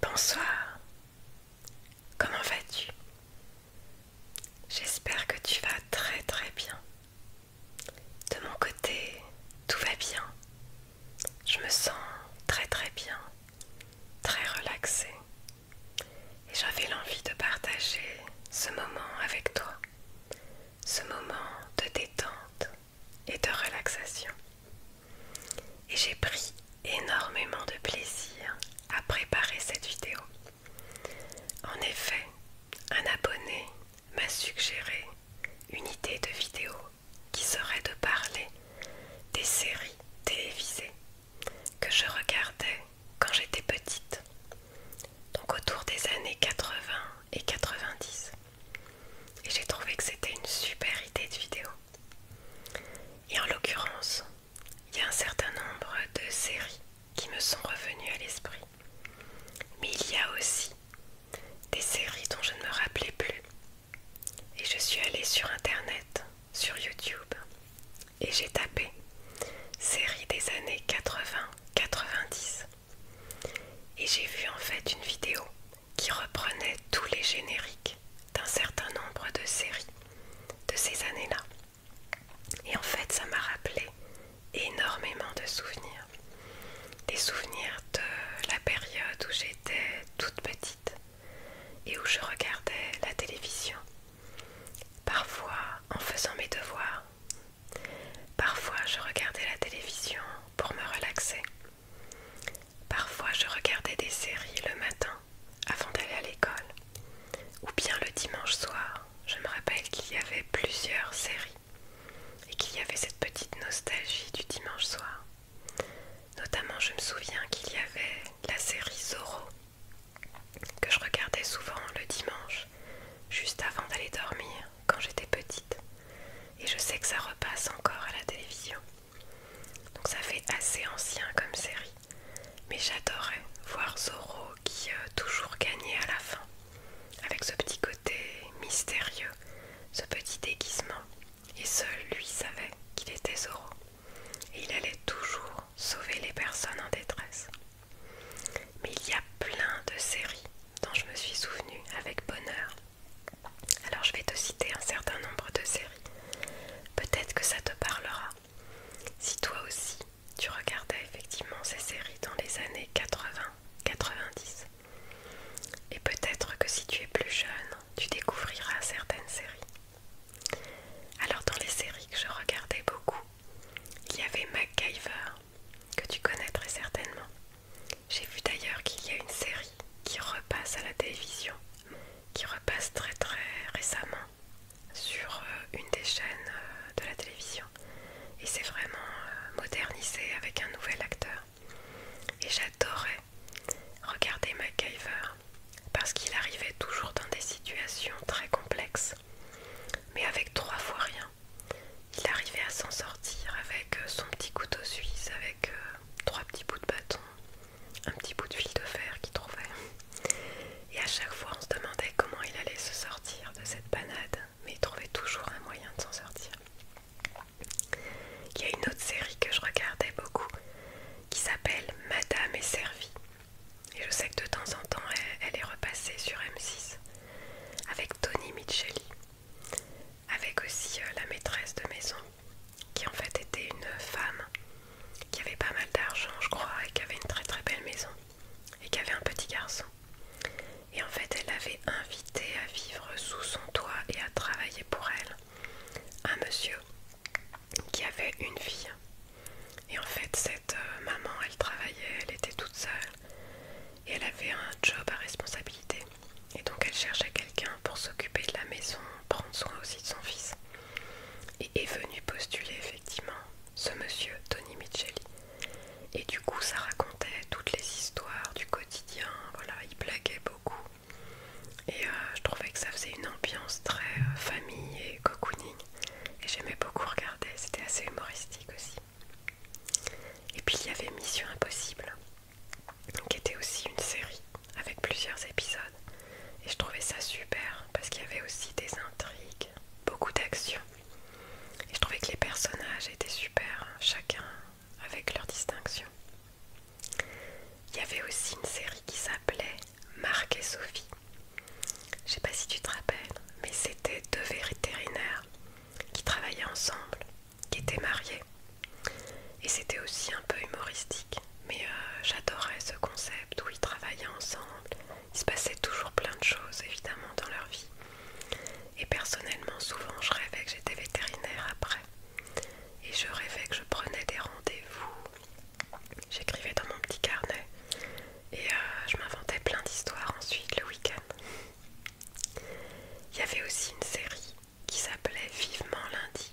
Bonsoir, comment vas-tu J'espère que tu vas très très bien. De mon côté, tout va bien. Je me sens très très bien, très relaxée. Et j'avais l'envie de partager ce moment avec toi, ce moment de détente, et de relaxation. Et j'ai pris énormément de plaisir à préparer cette vidéo. En effet, un abonné m'a suggéré une idée de vidéo qui serait de parler des séries télévisées que je regardais quand j'étais petite, donc autour des années 80 et 90. Et j'ai trouvé que c'était une super idée de vidéo. Et en l'occurrence, il y a un certain nombre de séries qui me sont revenues à l'esprit. Mais il y a aussi des séries dont je ne me rappelais plus. Et je suis allée sur Internet, sur YouTube, et j'ai tapé séries des années 80-90. Et j'ai vu en fait une vidéo qui reprenait tous les génériques d'un certain nombre de séries de ces années-là. Et en fait, ça m'a rappelé énormément de souvenirs. Des souvenirs de la période où j'étais toute petite et où je regardais la télévision. Parfois en faisant mes devoirs. Parfois je regardais la télévision pour me relaxer. Parfois je regardais des séries le matin avant d'aller à l'école, ou bien le dimanche soir, je me rappelle qu'il y avait plusieurs séries et qu'il y avait cette petite nostalgie du dimanche soir. Notamment je me souviens qu'il y avait la série Zoro, que je regardais souvent le dimanche, juste avant d'aller dormir quand j'étais petite. Et je sais que ça repasse encore à la télévision. Donc ça fait assez ancien comme série. Mais j'adorais voir Zoro qui euh, toujours gagnait à la fin. Avec ce petit côté mystérieux, ce petit déguisement. Et seul lui savait qu'il était Zoro. Et il allait toujours sauver les personnes en détresse. Mais il y a plein de séries dont je me suis souvenue avec bonheur alors je vais te citer un certain nombre de séries. Peut-être que ça te parlera. Si toi aussi tu regardais effectivement ces séries dans les années 80-90. Et peut-être que si tu es plus jeune, tu découvriras certaines séries. Alors dans les séries que je regardais beaucoup, il y avait MacGyver, que tu connaîtrais certainement. J'ai vu d'ailleurs qu'il y a une série qui repasse à la télévision, qui repasse très très récemment sur euh, une des chaînes euh, de la télévision. Et c'est vraiment euh, modernisé avec un nouvel acteur. Et j'adorais regarder MacGyver parce qu'il arrivait toujours dans des situations très complexes, mais avec trois fois rien. Il arrivait à s'en sortir avec son petit couteau suisse, avec trois petits bouts de bâton, un petit bout de fil de fer qu'il trouvait. Et à chaque fois, on se demandait comment il allait se sortir de cette panade, mais il trouvait toujours un moyen de s'en sortir. Il y a une autre série que je regardais beaucoup qui s'appelle Madame et servie. Et je sais que de temps en temps, elle, est repassée sur M6 avec Tony Micheli, avec aussi euh, la maîtresse de maison qui en fait était une femme qui avait pas mal d'argent, je crois, et qui avait une très très belle maison et qui avait un petit garçon. Et en fait, elle avait invité à vivre sous son toit et à travailler pour elle un monsieur qui avait une fille. Et en fait, cette euh, maman, elle travaillait, elle était toute seule et elle avait un job à responsabilité. Et donc elle cherchait quelqu'un pour s'occuper de la maison, prendre soin aussi de son fils. Et est venue postuler effectivement ce monsieur, Tony Micheli. Et du coup, ça racontait toutes les histoires du quotidien, voilà, il blaguait beaucoup. Et euh, je trouvais que ça faisait une ambiance très euh, famille et cocooning. Et j'aimais beaucoup regarder, c'était assez humoristique aussi. Et puis il y avait Mission Impossible qui était aussi une série avec plusieurs épisodes. Et je trouvais ça super parce qu'il y avait aussi des intrigues, beaucoup d'action. Et je trouvais que les personnages étaient super, hein, chacun avec leur distinction. Il y avait aussi une série qui s'appelait Marc et Sophie. Je sais pas si tu te rappelles, mais c'était deux vétérinaires qui travaillaient ensemble qui était marié. Et c'était aussi un peu humoristique, mais euh, j'adorais ce concept où ils travaillaient ensemble. Il se passait toujours plein de choses évidemment dans leur vie. Et personnellement, souvent je rêvais que j'étais vétérinaire après. Et je rêvais que je prenais des rendez-vous. J'écrivais dans mon petit carnet. Et euh, je m'inventais plein d'histoires ensuite le week-end. Il y avait aussi une série qui s'appelait Vivement lundi.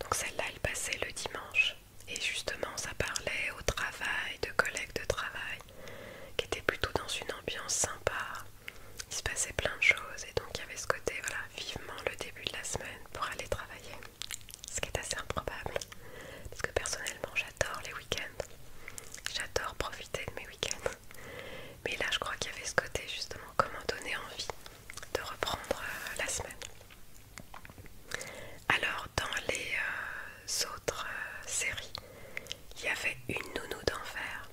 Donc celle-là, elle passait le dimanche. Et justement, ça parlait au travail, de collègues de travail, qui étaient plutôt dans une ambiance sympa. Il se passait plein de choses et donc il y avait ce côté, voilà, vivement le début de la semaine pour aller travailler. Ce qui est assez improbable, parce que personnellement, j'adore les week-ends. J'adore profiter de mes week-ends. Mais là, je crois qu'il y avait ce côté, justement, comment donner envie de reprendre euh, la semaine. Alors dans les euh, autres euh, séries, il y avait une nounou d'enfer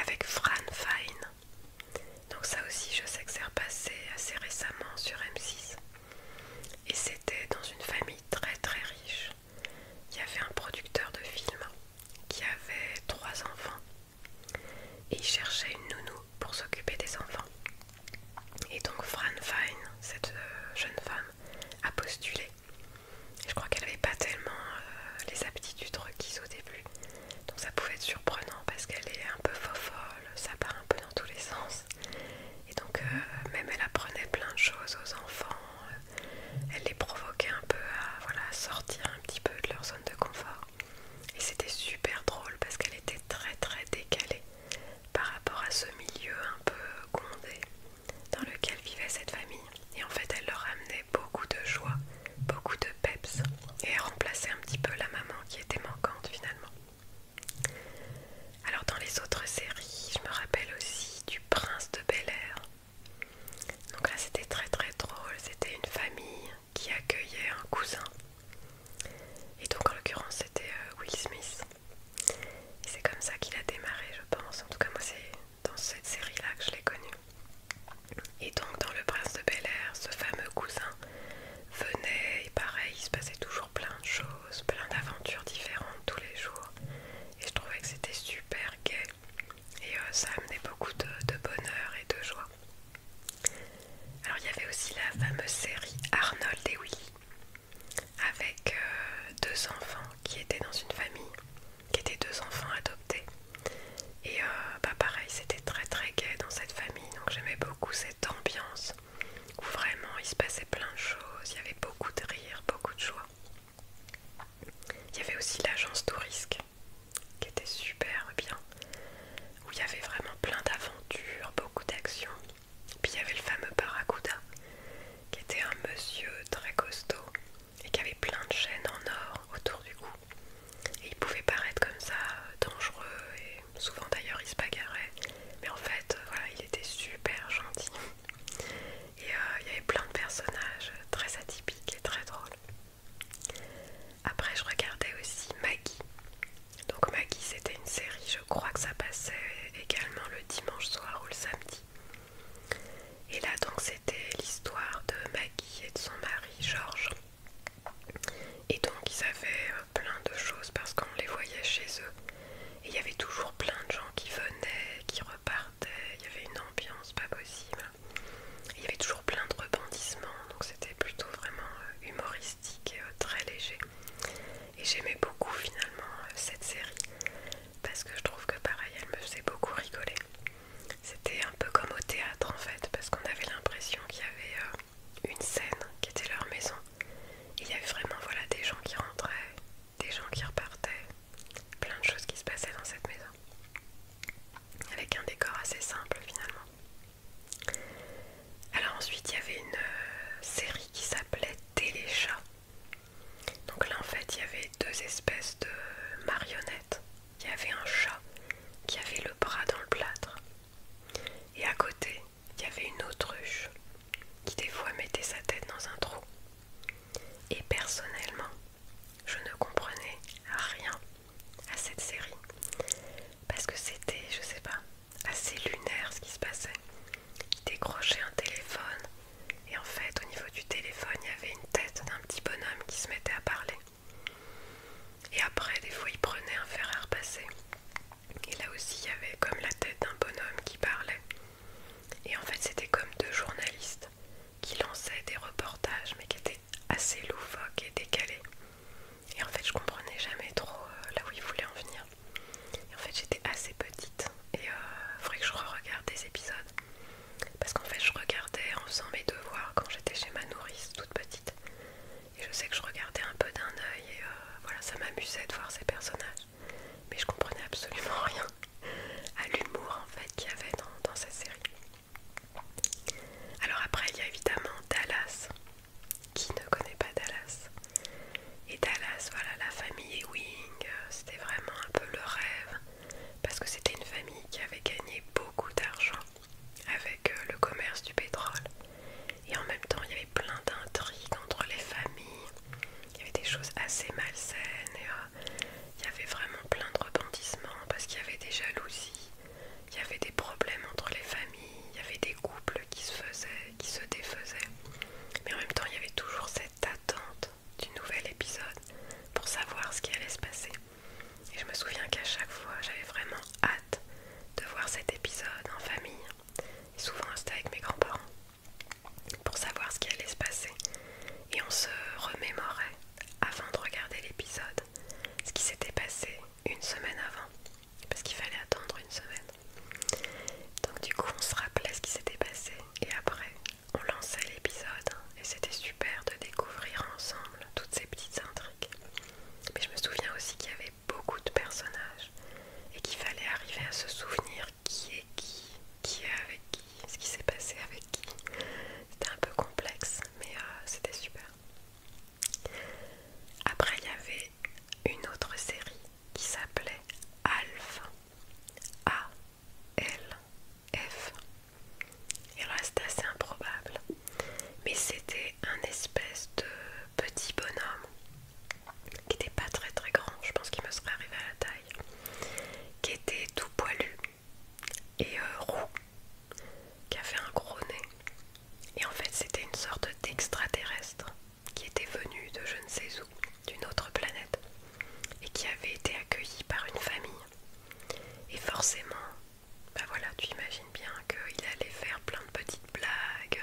avec Fran Fine. Donc ça aussi je sais que c'est repassé assez récemment sur M6. Et c'était dans une famille très très riche. Il y avait un producteur de films qui avait trois enfants et il cherchait une nounou pour s'occuper des enfants. Et donc Fran Fine, cette euh, jeune femme, a postulé. Je crois qu'elle n'avait pas tellement euh, les aptitudes requises au début. Donc ça pouvait être surprenant parce qu'elle est un peu fofolle, ça part un peu dans tous les sens. Et donc euh, même elle apprenait plein de choses aux enfants, elle les provoquait un peu à sortir un petit peu de leur zone de confort. Et c'était super drôle parce qu'elle était très très décalée par rapport à ce milieu un peu condé dans lequel vivait cette famille. Et en fait, elle leur amenait beaucoup de joie, beaucoup de peps et elle remplaçait un petit peu la maman qui était manquante finalement. Alors dans les autres séries, je me rappelle aussi du prince de Bel Air. Donc là c'était très très drôle, c'était une famille qui accueillait un cousin. Et donc en l'occurrence c'était euh, Will Smith. c'est comme ça qu'il a démarré je pense. En tout cas moi c'est dans cette série-là que je l'ai connu. Et donc dans Le Prince de Bel Air, ce fameux cousin venait et pareil, il se passait toujours plein de choses, plein d'aventures différentes tous les jours. Et je trouvais que c'était super gay Et euh, ça amenait beaucoup de bonheur et de joie. Alors il y avait aussi la fameuse série Arnold et Willy avec euh, deux enfants qui étaient dans une famille, qui étaient deux enfants adoptés. Et euh, bah, pareil, c'était très très gai dans cette famille, donc j'aimais beaucoup cette ambiance où vraiment il se passait plein de choses, il y avait beaucoup de rire, beaucoup de joie. Il y avait aussi l'agence touristique qui était super bien, où il y avait vraiment plein d'aventures, beaucoup d'actions. Puis il y avait le fameux Barracuda qui était un monsieur très costaud et qui avait plein de chaînes en or autour du cou. Et il pouvait paraître comme ça euh, dangereux et souvent d'ailleurs il se bagarrait. Mais en fait, euh, voilà, il était super gentil. Et euh, il y avait plein de personnages très atypiques et très drôles. Après, je regardais aussi Maggie. Donc, Maggie, c'était une série, je crois que ça passait également le dimanche soir ou le samedi. Et là, donc, c'était l'histoire de Maggie et de son mari, Georges. Et donc, ils avaient euh, plein de choses parce qu'on les voyait chez eux. Et il y avait toujours plein de gens qui venaient, qui repartaient. Il y avait une ambiance pas possible. Il y avait toujours plein de rebondissements, donc c'était plutôt vraiment euh, humoristique et euh, très léger. Et j'aimais beaucoup finalement euh, cette série parce que je trouve que pareil, elle me faisait beaucoup rigoler. C'était un peu comme au théâtre en fait, parce qu'on avait l'impression qu'il y avait une scène qui était leur maison. Il y avait vraiment voilà, des gens qui rentraient, des gens qui repartaient, plein de choses qui se passaient dans cette maison avec un décor assez simple finalement. Alors ensuite il y avait une euh, série qui s'appelait Téléchat. Donc là en fait il y avait deux espèces de marionnettes. Il y avait un chat qui avait le bras dans le plâtre. Et à côté, il y avait une autruche qui des fois mettait sa tête dans un trou. Et personnellement, je ne comprenais rien à cette série parce que c'était, je sais pas, assez lunaire ce qui se passait. Il décrochait un téléphone et en fait, au niveau du téléphone, il y avait une tête d'un petit bonhomme qui se mettait à parler. Et après, des fois, il prenait un fer à repasser. Et là aussi, il y avait comme la tête d'un bonhomme qui parlait. Et en fait, c'était comme deux journalistes qui lançaient des reportages, mais qui étaient assez loufoques et décalés. Et en fait, je comprenais jamais trop euh, là où il voulait en venir. en fait, j'étais assez petite et il euh, faudrait que je re-regarde des épisodes. Parce qu'en fait, je regardais en faisant mes devoirs quand j'étais chez ma nourrice toute petite. Et je sais que je regardais un peu d'un œil et euh, voilà, ça m'amusait de voir ces personnages. Mais je comprenais absolument rien à l'humour en fait qu'il y avait dans cette série. Alors après il y a évidemment Dallas. Qui ne connaît pas Dallas Et Dallas, voilà, la famille Ewing, euh, c'était vraiment un peu le rêve. Parce que c'était une famille qui avait gagné beaucoup d'argent avec euh, le commerce du pétrole. Et en même temps, il y avait plein d'intrigues entre les familles. Il y avait des choses assez malsaines. Euh, il y avait vraiment plein de rebondissements parce qu'il y avait des jalousies il y avait des problèmes entre les familles, il y avait des couples qui se faisaient, qui se défaisaient. Mais en même temps, il y avait toujours cette attente du nouvel épisode pour savoir ce qui allait se passer. Et je me souviens qu'à chaque fois, j'avais vraiment hâte de voir cet épisode en famille. Et souvent, c'était avec mes grands-parents pour savoir ce qui allait se passer. Et on se remémorait avant de regarder l'épisode ce qui s'était passé une semaine avant parce qu'il fallait attendre une semaine. Donc du coup on se rappelait ce qui s'était passé et après on lançait l'épisode et c'était super de découvrir ensemble toutes ces petites intrigues. Mais je me souviens aussi qu'il y avait beaucoup de personnages et qu'il fallait arriver à se souvenir qui est qui, qui est avec qui, ce qui s'est passé avec qui. C'était un peu complexe mais euh, c'était super. Après, il y avait une autre série qui s'appelait Alf. A-L-F. Et là, c'était assez improbable. Mais c'était un espèce de petit bonhomme qui n'était pas très très grand, je pense qu'il me serait arrivé à la taille, qui était tout poilu et euh, roux qui fait un gros nez. Et en fait, c'était une sorte d'extraterrestre qui était venu de je ne sais où, d'une autre planète, et qui avait été accueilli par une famille. Et forcément, bah voilà, tu imagines bien qu'il allait faire plein de petites blagues.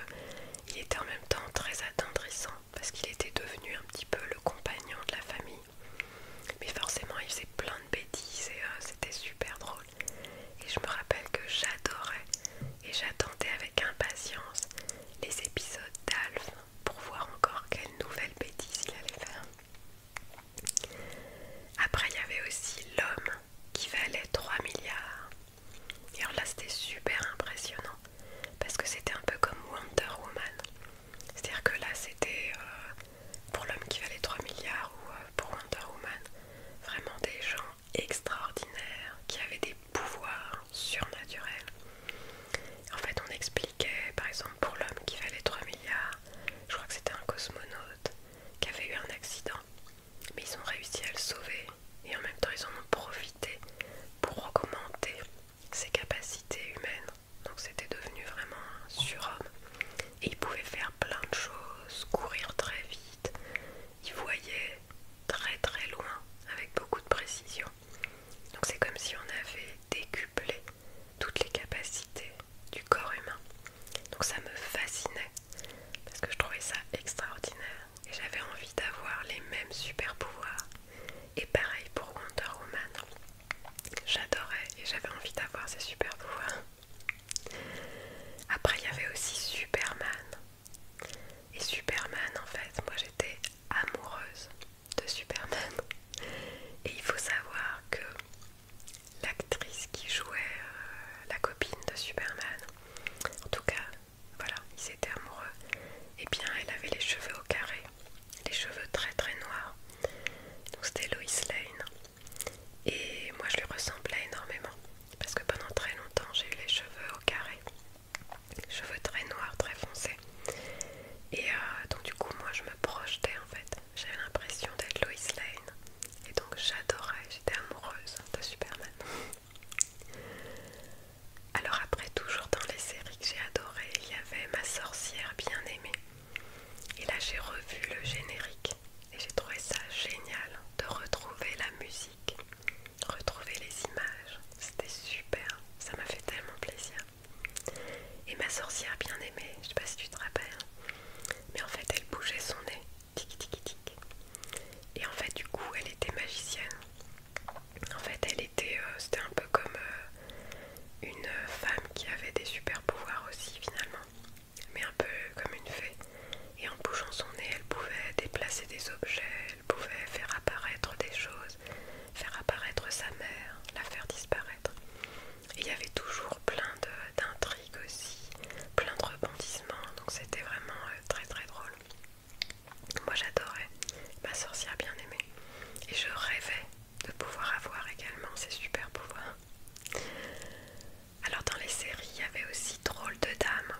Il était en même temps très attendrissant parce qu'il était devenu un petit peu le compagnon de la famille. Mais forcément, il faisait plein de bêtises et euh, c'était super drôle et je me rappelle que j'adorais et j'attendais avec impatience les épisodes d'Alf pour voir encore quelle nouvelle bêtise il allait faire. Après il y avait aussi l'homme qui valait 3 milliards. Et alors là c'était super impressionnant parce que c'était un peu comme Wonder Woman. C'est-à-dire que là c'était euh, pour l'homme qui valait 3 milliards ou euh, pour Wonder Woman, vraiment des gens extraordinaires qui avaient des pouvoirs surnaturels. En fait, on expliquait, par exemple, pour l'homme qui valait 3 milliards, je crois que c'était un cosmonaute qui avait eu un accident, mais ils ont réussi à le sauver et en même temps ils en ont profité pour augmenter ses capacités humaines. Donc c'était devenu vraiment un surhomme et il pouvait faire plein de choses, courir très vite, il voyait très très loin avec beaucoup de précision. Donc c'est comme si on avait décuplé toutes les capacités du corps humain. Donc ça me fascinait parce que je trouvais ça extraordinaire et j'avais envie d'avoir les mêmes super pouvoirs. Et pareil pour Wonder Woman. J'adorais et j'avais envie d'avoir ces super pouvoirs. Après, il y avait aussi Superman. Et Superman, en fait, moi j'étais amoureuse de Superman. Et il faut savoir que l'actrice qui jouait euh, la copine de Superman, en tout cas, voilà, ils étaient amoureux. Et eh bien, elle avait les cheveux au carré, les cheveux très très noirs. Donc c'était Lois Lane. Et moi je lui ressemblais énormément parce que pendant très longtemps j'ai eu les cheveux au carré, cheveux très noirs, très foncés. Et euh, donc du coup moi je me projetais en fait, j'avais l'impression d'être Lois Lane. Et donc j'adorais, j'étais amoureuse de Superman. Alors après, toujours dans les séries que j'ai adorées, il y avait Ma sorcière bien aimée. Et là j'ai revu le générique et j'ai trouvé ça génial de retrouver la musique, retrouver les images. C'était super, ça m'a fait tellement plaisir. Et ma sorcière bien aimée, je sais pas si tu te rappelles, mais en fait elle bougeait son nez, tic tic tic. Et en fait du coup elle était magicienne. En fait elle était, euh, c'était un peu comme euh, une femme qui avait des super pouvoirs aussi finalement mais un peu comme une fée. Et en bougeant son nez, elle pouvait déplacer des objets, elle pouvait faire apparaître des choses, faire apparaître sa mère, la faire disparaître. il y avait toujours plein d'intrigues aussi, plein de rebondissements, donc c'était vraiment euh, très très drôle. Moi j'adorais, ma sorcière bien aimée. Et je rêvais de pouvoir avoir également ses super pouvoirs. Alors dans les séries, il y avait aussi Drôle de dames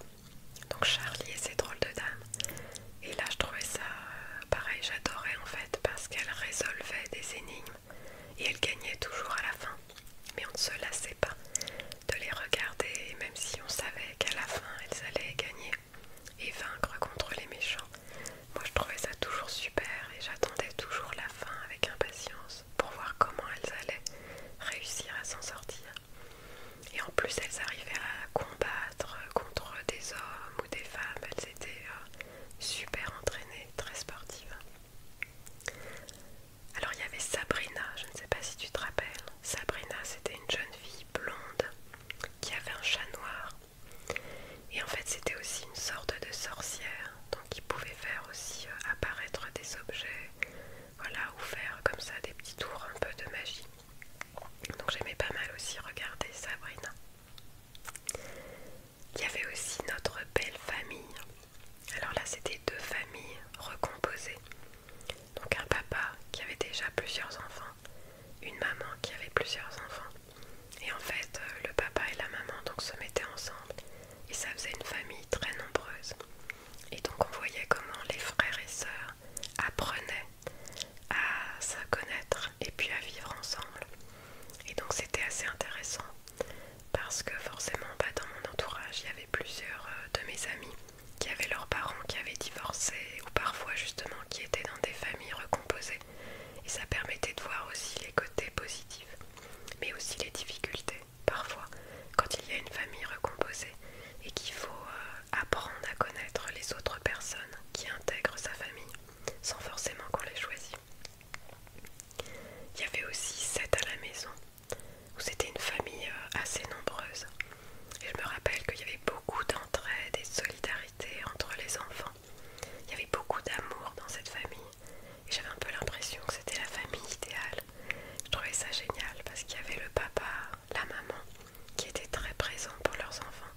donc Charlie et ses drôles de dames. Et là, je trouvais ça euh, pareil, j'adorais en fait parce qu'elle résolvait des énigmes et elle gagnait toujours à la fin. Mais on ne se lassait pas de les regarder, même si on savait qu'à la fin, elles allaient gagner et vaincre contre les méchants. Moi, je trouvais ça toujours super et j'attendais toujours la fin avec impatience pour voir comment elles allaient réussir à s'en sortir. Et en plus, elles arrivaient à combattre contre des hommes ou des femmes. Elles étaient euh, super entraînées, très sportives. Alors il y avait Sabrina, je ne sais pas si tu te rappelles. Sabrina, c'était une jeune fille blonde qui avait un chat noir. Et en fait, c'était aussi une sorte de sorcière donc ils pouvaient faire aussi euh, apparaître des objets, voilà, ou faire comme ça des petits tours un peu de magie. Donc j'aimais pas mal aussi regarder Sabrina. Il y avait aussi notre belle famille. Alors là c'était deux familles recomposées. Donc un papa qui avait déjà plusieurs enfants, une maman qui avait plusieurs enfants. Et en fait euh, le papa et la maman donc se mettaient ensemble et ça faisait une famille très nombreuse. Et donc on voyait comment les frères et sœurs apprenaient à se connaître et puis à vivre ensemble. Et donc c'était assez intéressant parce que forcément pas bah, dans mon entourage il y avait plusieurs euh, de mes amis qui avaient leurs parents qui avaient divorcé ou parfois justement qui étaient dans des familles recomposées. Et ça permettait de voir aussi les côtés positifs mais aussi les difficultés parfois, quand il y a une famille recomposée et qu'il faut euh, apprendre à connaître les autres personnes qui intègrent sa famille sans forcément qu'on les choisisse. Il y avait aussi sept à la maison, où c'était une famille euh, assez nombreuse. Et je me rappelle qu'il y avait beaucoup d'entraide et de solidarité entre les enfants. Il y avait beaucoup d'amour dans cette famille j'avais un peu l'impression que c'était la famille idéale. Je trouvais ça génial parce qu'il y avait le papa, la maman qui étaient très présents pour leurs enfants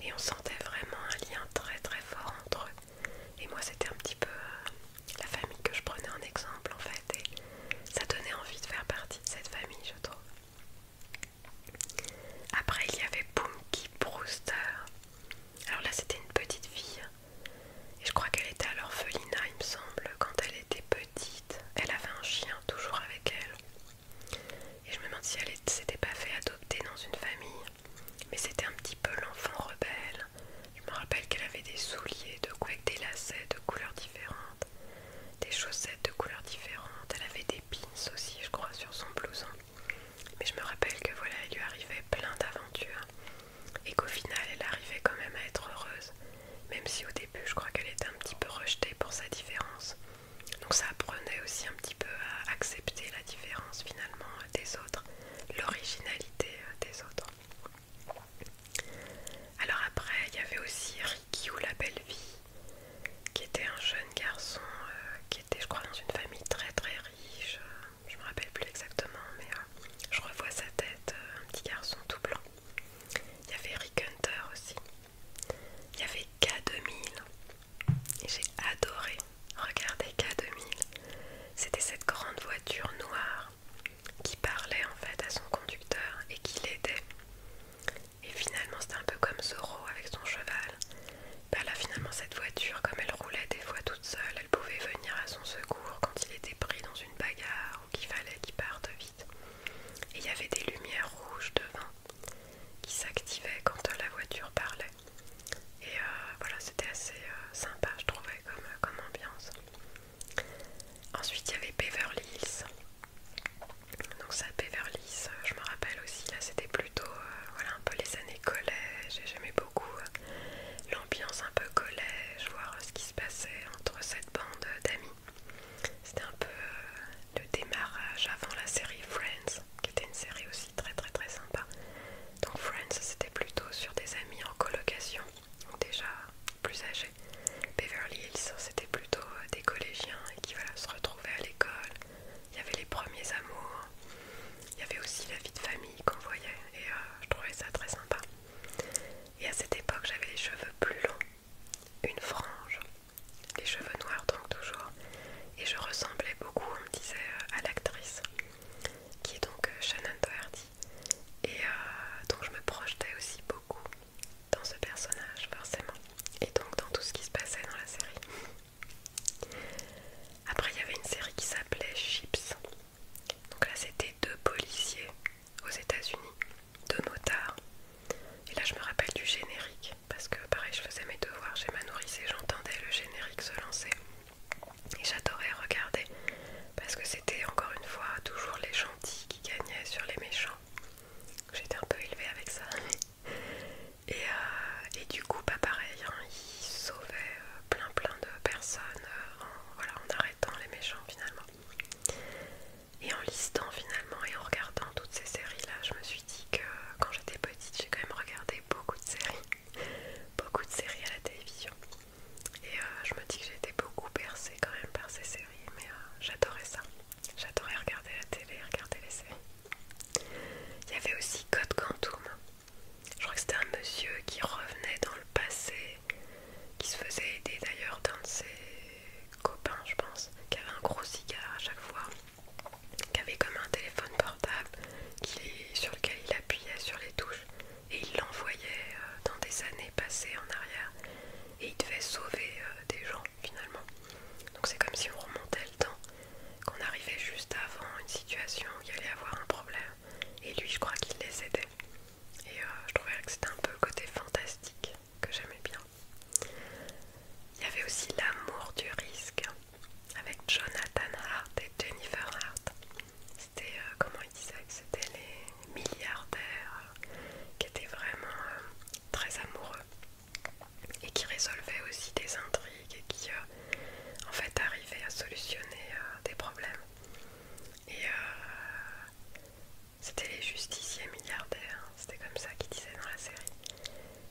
et on sentait vraiment un lien très très fort entre eux. Et moi c'était un petit peu euh, la famille que je prenais en exemple en fait et ça donnait envie de faire partie de cette famille je trouve. Après il y avait Punky Brewster. Alors là c'était une petite fille et je crois qu'elle était à l'orphelinat, il me semble, quand elle était petite. Elle avait un chien toujours avec elle. Et je me demande si elle s'était pas fait adopter dans une famille. Mais c'était un petit peu l'enfant rebelle. Je me rappelle qu'elle avait des souliers, de coups des lacets de couleurs différentes, des chaussettes de couleurs différentes. Elle avait des pins aussi, je crois, sur son blouson. Mais je me rappelle que voilà, il lui arrivait plein d'aventures et qu'au final elle arrivait quand même à être heureuse, même si au début je crois qu'elle était un petit peu rejetée pour sa différence. Donc ça apprenait aussi un petit peu à accepter la différence finalement euh, des autres, l'originalité euh, des autres. Alors après il y avait aussi Ricky ou la belle vie, qui était un jeune garçon euh, qui était je crois dans une famille très très riche je me rappelle plus exactement, mais euh, je revois sa tête, euh, un petit garçon tout blanc. Il y avait Rick Hunter aussi. Il y avait K2000. Et j'ai adoré regarder K2000. C'était cette grande voiture noire qui parlait en fait à son conducteur et qui l'aidait. Et finalement, c'était un peu comme Zorro avec son cheval. Bah là, finalement, cette voiture, comme elle roulait des fois toute seule, elle pouvait venir à son secours quand il était pris dans une bagarre ou qu'il fallait qu'ils partent vite. Et il y avait des lumières rouges devant qui s'activaient quand la voiture parlait. Et euh, voilà, c'était assez euh, sympa, je trouvais, euh, comme, ambiance. Ensuite, il y avait Beverly Hills. Donc ça, Beverly Hills, je me rappelle aussi, là c'était plutôt voilà, un peu les années collège et j'aimais beaucoup euh, l'ambiance un peu collège, voir ce qui se passait entre cette bande d'amis. C'était un peu euh, le démarrage avant la série Friends, qui était une série aussi très très très sympa. Donc Friends, c'était plutôt sur des amis en colocation, déjà plus âgés. Beverly Hills, c'était plutôt euh, des collégiens et qui voilà, se retrouvaient à l'école. Il y avait les premiers amours, il y avait aussi la vie de famille qu'on voyait et je trouvais ça très sympa. Et à cette époque, j'avais les cheveux plus longs, une frange, les cheveux noirs donc toujours, et je ressemblais beaucoup, on me disait, euh, à l'actrice, qui est donc euh, Shannon Doherty. Et euh, donc je me projetais aussi beaucoup dans ce personnage, forcément, et donc dans tout ce qui se passait dans la série. Après, il y avait une série qui s'appelait Chips, donc là, c'était deux policiers aux États-Unis, deux motards. Et là, je me rappelle du générique parce que, pareil, je faisais mes devoirs chez ma nourrice et j'entendais le générique se lancer. Et j'adorais regarder parce que c'était encore une fois toujours les gentils qui gagnaient sur les méchants. J'étais un peu élevée avec ça. Euh, et, du coup, pas bah, pareil, hein, ils sauvaient euh, plein plein de personnes euh, voilà, en arrêtant les méchants finalement. Et en listant finalement et en regardant toutes ces séries là, je me suis dit que quand j'étais petite, j'ai quand même regardé beaucoup de séries, beaucoup de séries à la télévision. Et euh, je me dis que j'ai été beaucoup percée, quand même par ces séries, mais euh, j'adorais ça. J'adorais regarder la télé, regarder les séries. Il y avait aussi Code Quantum. Je crois que c'était un monsieur qui revenait dans le passé qui se faisait aider d'ailleurs d'un de ses copains, je pense, qui avait un gros cigare à chaque fois, qui avait comme un téléphone portable sur lequel il appuyait sur les touches et il l'envoyait euh, dans des années passées en arrière et il devait sauver euh, des gens finalement. Donc c'est comme si on remontait le temps, qu'on arrivait juste avant une situation où il y allait avoir un problème et lui je crois qu'il les aidait. Et euh, je trouvais que c'était un peu le côté fantastique que j'aimais bien. Il y avait aussi L'amour du risque avec Jonathan Hart et Jennifer Hart. C'était, euh, comment il disaient, c'était les milliardaires euh, qui étaient vraiment très amoureux et qui résolvaient aussi des intrigues et qui, en fait, arrivaient à solutionner des problèmes. Et euh, c'était les justiciers milliardaires, hein. c'était comme ça qu'ils disaient dans la série.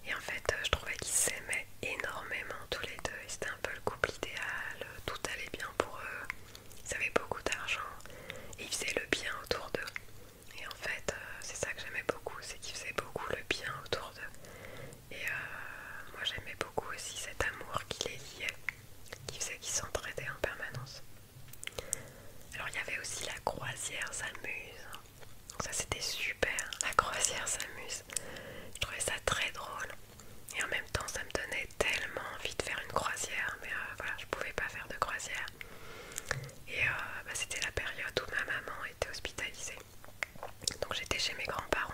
Et en fait, euh, je trouvais qu'ils s'aimaient énormément tous les deux. C'était un peu le couple idéal, tout allait bien pour eux. Ils avaient beaucoup d'argent et ils faisaient le bien autour d'eux. Et en fait, euh, c'est ça que j'aimais beaucoup, c'est qu'ils faisaient beaucoup le bien autour d'eux. Et moi, j'aimais beaucoup aussi cet amour qui les liait qui faisait qu'ils s'entraidaient en permanence. Alors il y avait aussi la croisière s'amuse. Ça c'était super, la croisière s'amuse. Je trouvais ça très drôle. Et en même temps ça me donnait tellement envie de faire une croisière. Mais euh, voilà, je pouvais pas faire de croisière. Et euh, bah, c'était la période où ma maman était hospitalisée. Donc j'étais chez mes grands-parents.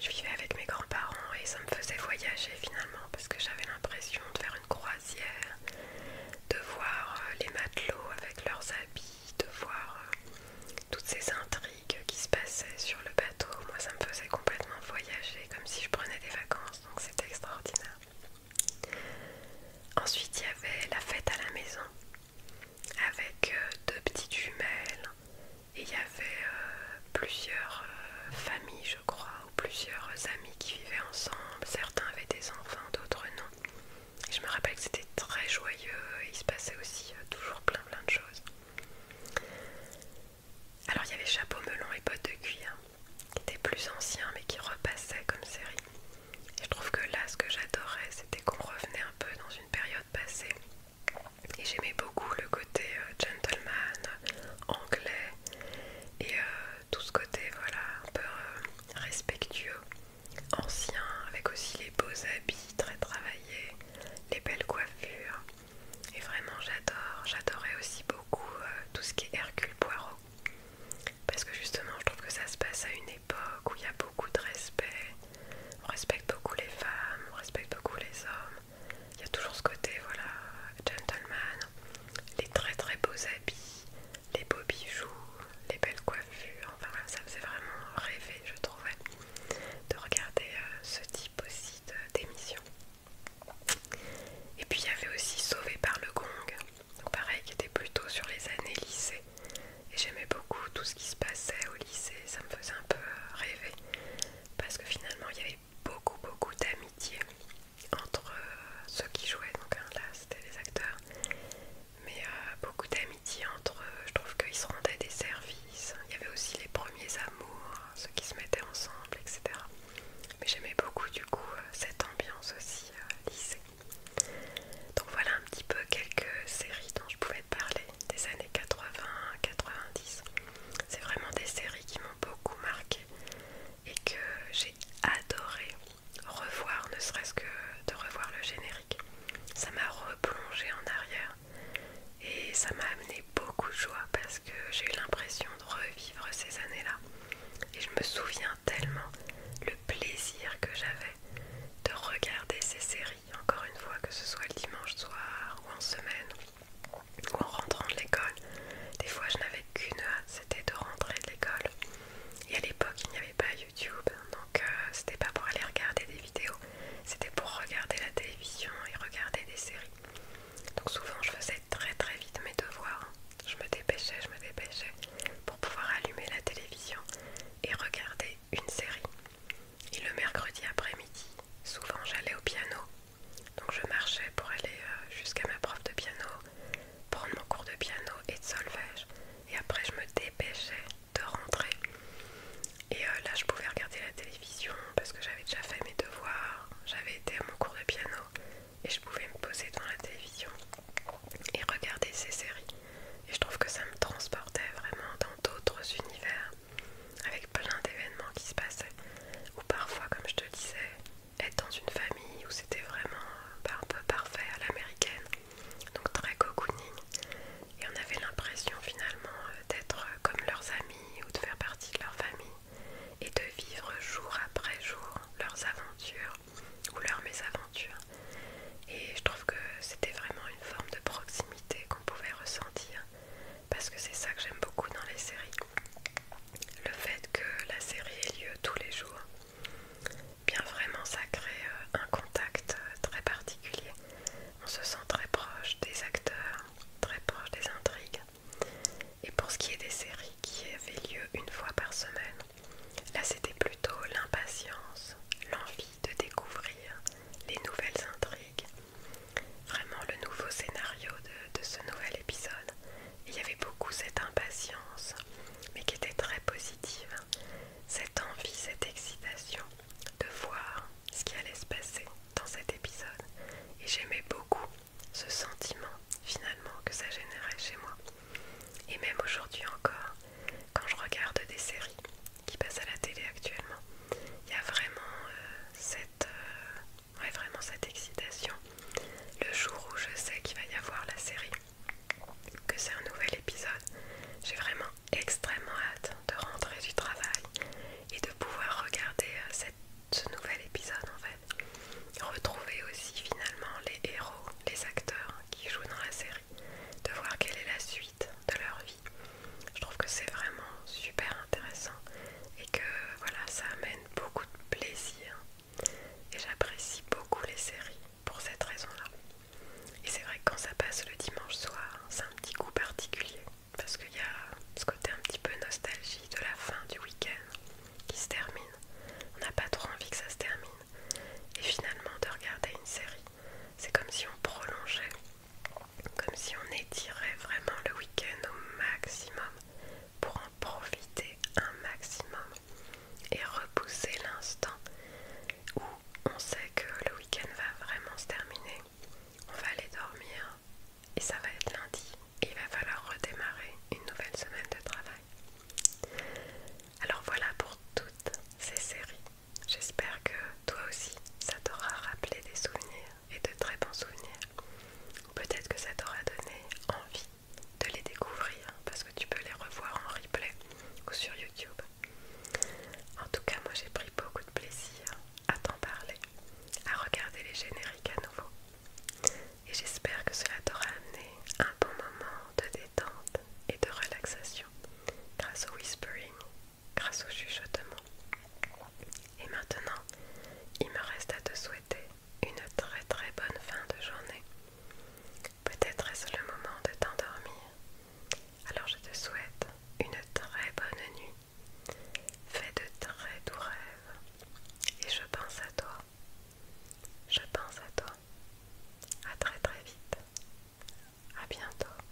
Je vivais avec mes grands-parents et ça me faisait voyager finalement parce que j'avais l'impression de faire une croisière, de voir euh, les matelots avec leurs habits, de voir euh, toutes ces intrigues qui se passaient sur le bateau. Moi ça me faisait complètement voyager comme si je prenais des vacances, donc c'était extraordinaire. Ensuite il y avait la fête à la maison avec euh, deux petites jumelles et il y avait euh, plusieurs euh, familles, je crois, ou plusieurs amis qui vivaient ensemble. Certains avaient des enfants, d'autres non. Et je me rappelle que c'était très joyeux et il se passait aussi euh, toujours plein plein de choses. Alors il y avait Chapeau Melon et Bottes de Cuir, qui étaient plus anciens mais qui repassaient comme série. Et je trouve que là, ce que j'adorais, c'était qu'on revenait un peu dans une période passée et j'aimais beaucoup le côté euh, gentleman, anglais, et euh, tout ce côté voilà, un peu euh, respectueux, ancien, avec aussi les beaux habits très travaillés, les belles coiffures. Et vraiment j'adore, j'adorais aussi beaucoup tout ce qui est Hercule Poirot. Parce que justement je trouve que ça se passe à une époque où il y a beaucoup de respect. On respecte beaucoup les femmes, on respecte beaucoup les hommes il y a toujours ce côté, voilà, gentleman, les très très beaux habits, les beaux bijoux, les belles coiffures, enfin voilà, ça faisait vraiment rêver, je trouvais, de regarder euh, ce type aussi d'émission. Et puis il y avait aussi Sauvé par le Gong, pareil, qui était plutôt sur les années lycée. Et j'aimais beaucoup tout ce qui se passait au lycée, ça me faisait un peu euh, rêver. Parce que finalement, il y avait beaucoup beaucoup d'amitié entre euh, ceux qui jouaient, donc hein, là c'était les acteurs, mais euh, beaucoup d'amitié entre euh, je trouve qu'ils se rendaient des services, il y avait aussi les premiers amours, ceux qui se mettaient ensemble, etc. Mais j'aimais beaucoup du coup cette ambiance aussi lycée. Donc voilà un petit peu quelques séries dont je pouvais te parler des années 80-90. C'est vraiment des séries qui m'ont beaucoup marqué et que j'ai adoré revoir, ne serait-ce que de revoir le générique. Ça m'a replongé en arrière et ça m'a amené beaucoup de joie parce que j'ai eu l'impression de revivre ces années-là. Et je me souviens tellement le plaisir que j'avais de regarder ces séries, encore une fois, que ce soit le dimanche soir ou en semaine en rentrant de l'école. Des fois, je n'avais qu'une hâte, c'était de rentrer de l'école. Et à l'époque, il n'y avait pas YouTube, donc euh, c'était pas pour aller regarder des vidéos, c'était pour regarder la télévision et regarder des séries. Donc souvent, je faisais très très vite mes devoirs. Je me dépêchais, je me dépêchais pour pouvoir allumer la télévision et regarder une série. Et le mercredi après-midi, souvent j'allais au piano donc je marchais pour aller euh, jusqu'à ma prof de piano, prendre mon cours de piano et de solfège. Et après je me dépêchais de rentrer. Et euh, là je pouvais regarder la télévision parce que j'avais déjà fait mes devoirs, j'avais été à mon cours de piano et je pouvais me poser devant la télévision et regarder ces séries. Et je trouve que ça me transportait vraiment dans d'autres univers avec plein d'événements qui se passaient, ou parfois, comme je te disais, être dans une famille où c'était vraiment euh, bah, un peu parfait à l'américaine, donc très cocooning, et on avait l'impression finalement euh, d'être euh, comme leurs amis ou de faire partie de leur famille, et de vivre jour après jour leurs aventures ou leurs mésaventures. Et je trouve que c'était vraiment une forme de proximité qu'on pouvait ressentir parce que c'est ça que j'aime beaucoup dans les séries. Le fait que la série ait lieu tous les jours, bien vraiment ça crée euh, un contact euh, très particulier. On se sent très proche des acteurs, très proche des intrigues. Et pour ce qui est des séries qui avaient lieu une fois par semaine, là c'était plutôt l'impatience, l'envie de découvrir les nouvelles intrigues, vraiment le nouveau scénario de, ce nouvel épisode. Il y avait beaucoup cette impatience, mais qui était très positive, cette envie, cette excitation de voir ce qui allait se passer dans cet épisode. Et j'aimais beaucoup ce sentiment finalement que ça générait chez moi. Et même aujourd'hui encore, quand je regarde des séries qui passent à la télé actuellement, il y a vraiment euh, cette, euh, ouais, vraiment cette excitation. Le jour où je sais qu'il va y avoir la série, que c'est un nouvel épisode, j'ai vraiment extrêmement hâte de rentrer du travail et de pouvoir regarder euh, cette, ce nouvel épisode en fait. Retrouver aussi finalement les héros, les acteurs qui jouent dans la série, de voir quelle est la suite de leur vie. Je trouve que c'est vraiment super intéressant et que voilà, ça amène beaucoup de plaisir et j'apprécie beaucoup les séries pour cette raison-là. Et c'est vrai que quand ça passe le dimanche soir, c'est un petit coup particulier parce qu'il y a ce côté un petit peu nostalgie de la fin du week-end qui se termine. On n'a pas trop envie que ça se termine. Et finalement, de regarder une série, c'est comme si on prolongeait, comme si on étirait vraiment le week-end au maximum pour en profiter un maximum et repousser l'instant où on sait que le week-end va vraiment se terminer. On va aller dormir et ça va être lundi. Il va falloir redémarrer une nouvelle semaine de travail. Alors voilà pour toutes ces séries. J'espère que toi aussi, ça t'aura rappelé des souvenirs et de très bons souvenirs. Peut-être que ça t'aura donné envie de les découvrir parce que tu peux les revoir en replay ou sur YouTube. En tout cas, moi j'ai pris beaucoup de plaisir à t'en parler, à regarder les génériques à nouveau. Et j'espère que cela t'aura amené un bon moment de détente et de relaxation grâce au whispering, grâce au chuchotement et maintenant, il me reste à te souhaiter une très très bonne fin de journée. Peut-être est-ce le moment de t'endormir. Alors je te souhaite une très bonne nuit. Fais de très doux rêves. Et je pense à toi. Je pense à toi. À très très vite. À bientôt.